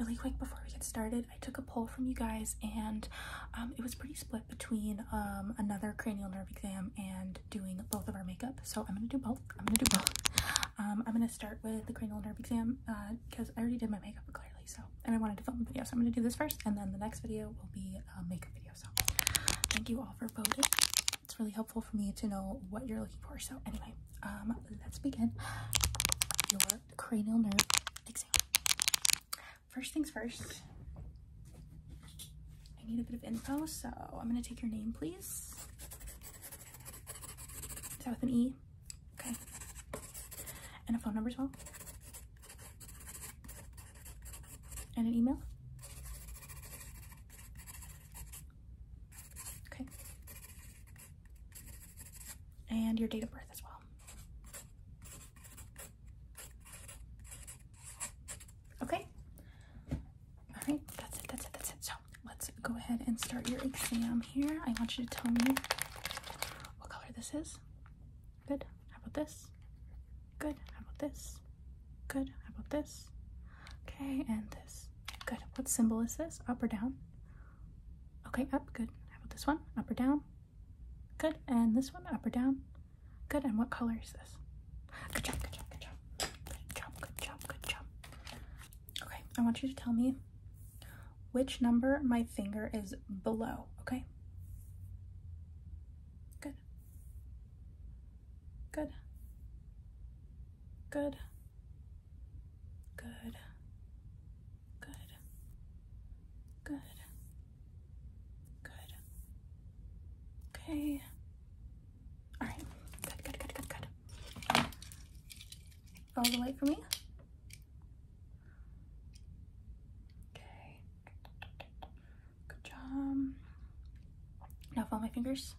Really quick before we get started, I took a poll from you guys and um, it was pretty split between um, another cranial nerve exam and doing both of our makeup. So I'm going to do both. I'm going to do both. Um, I'm going to start with the cranial nerve exam because uh, I already did my makeup clearly. So, and I wanted to film a video. So I'm going to do this first and then the next video will be a makeup video. So thank you all for voting it's really helpful for me to know what you're looking for. So anyway, um, let's begin your cranial nerve exam. First things first, I need a bit of info, so I'm gonna take your name, please. Is that with an E? Okay. And a phone number as well? And an email? Okay. And your date of birth as well. Okay. All right, that's it, that's it, that's it. So let's go ahead and start your exam here. I want you to tell me what color this is. Good. How about this? Good. How about this? Good. How about this? Okay, and this. Good. What symbol is this? Up or down? Okay, up. Good. How about this one? Up or down? Good. And this one? Up or down? Good. And what color is this? Good job. Good job. Good job. Good job. Good job. Good job. Okay, I want you to tell me which number my finger is below, okay? Good. Good. Good. Good. Good. Good. Good. Okay. All right. Good, good, good, good, good. All the way for me. Okay. Good job. Now follow my fingers.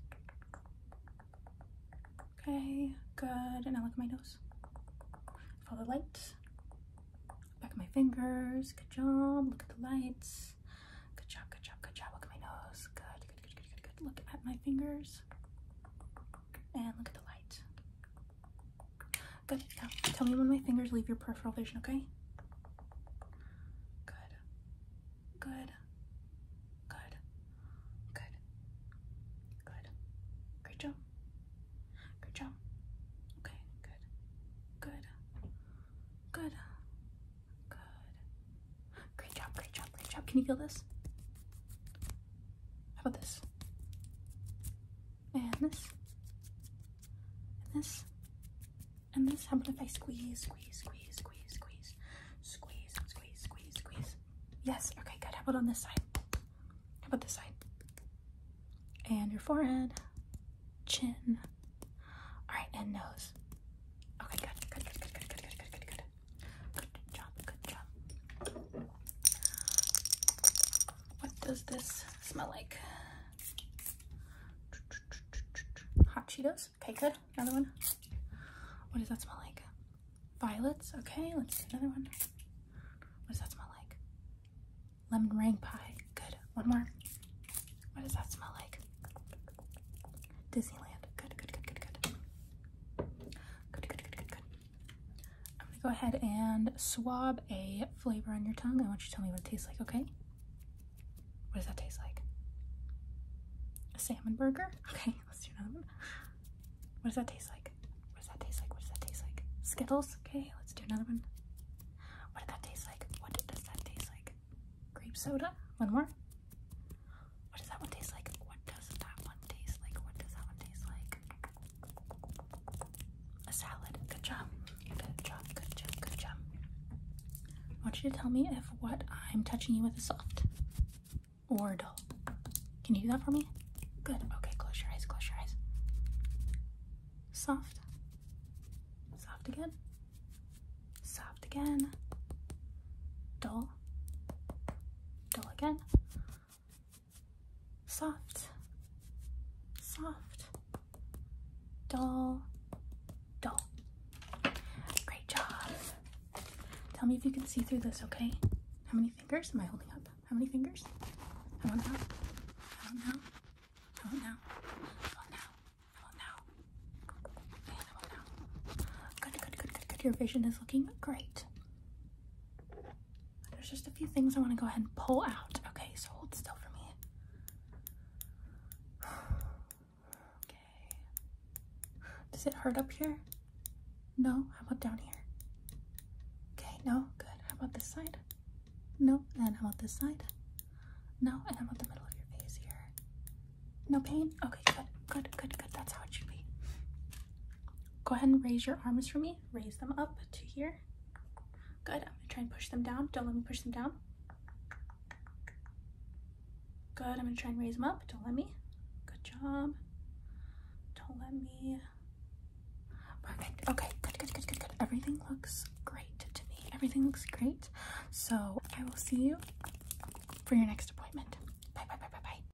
Okay, good. And now look at my nose. Follow the light. Back of my fingers. Good job. Look at the lights. Good job, good job, good job. Look at my nose. Good, good, good, good, good, good. Look at my fingers. And look at the light. Good. Now, tell me when my fingers leave your peripheral vision, okay? Good. Good. Good. Good. Good. Great job. Great job. Okay, good. Good. Good. Good. Great job, great job, great job. Can you feel this? How about this? and this, and this, and this. How about if I squeeze, squeeze, squeeze, squeeze, squeeze, squeeze, squeeze, squeeze, squeeze? Yes. Okay, good. How about on this side? How about this side? And your forehead, chin. All right, and nose. Okay, good. Good, good, good, good, good, good, good, good, good. Good job, good job. What does this smell like? Hot Cheetos. Okay, good. Another one. What does that smell like? Violets. Okay, let's do another one. What does that smell like? Lemon meringue pie. Good. One more. What does that smell like? Disneyland. good, good, good, good. Good, good, good, good, good. I'm gonna go ahead and swab a flavor on your tongue. I want you to tell me what it tastes like, okay? What does that taste like? A salmon burger? Okay, let's do another one. What does that taste like? What does that taste like? What does that taste like? Skittles? Okay, let's do another one. What did that taste like? What does that taste like? Grape soda? One more. What does that one taste like? What does that one taste like? What does that one taste like? A salad. Good job. Good job. Good job. Good job. I want you to tell me if what I'm touching you with is soft or dull. Can you do that for me? Good. Okay, close your eyes. Close your eyes. Soft. Soft again. Soft again. Dull. Dull again soft, soft, dull, dull. Great job. Tell me if you can see through this, okay? How many fingers am I holding up? How many fingers? How about now? How about now? How about now? How about now? How about now? And how about now? Good, good, good, good, good. Your vision is looking great. There's just a few things I want to go ahead and pull out. Okay, so hold still for me. Okay. Does it hurt up here? No? How about down here? Okay, no? Good. How about this side? No? And how about this side? No? And how about the middle of your face here? No pain? Okay, good. Good, good, good. That's how it should be. Go ahead and raise your arms for me. Raise them up to here. Good. I'm going to try and push them down. Don't let me push them down. Good. I'm going to try and raise them up. Don't let me. Good job. Don't let me. Perfect. Okay. Good, good, good, good, good. Everything looks great to me. Everything looks great. So I will see you for your next appointment. Bye, bye, bye, bye, bye.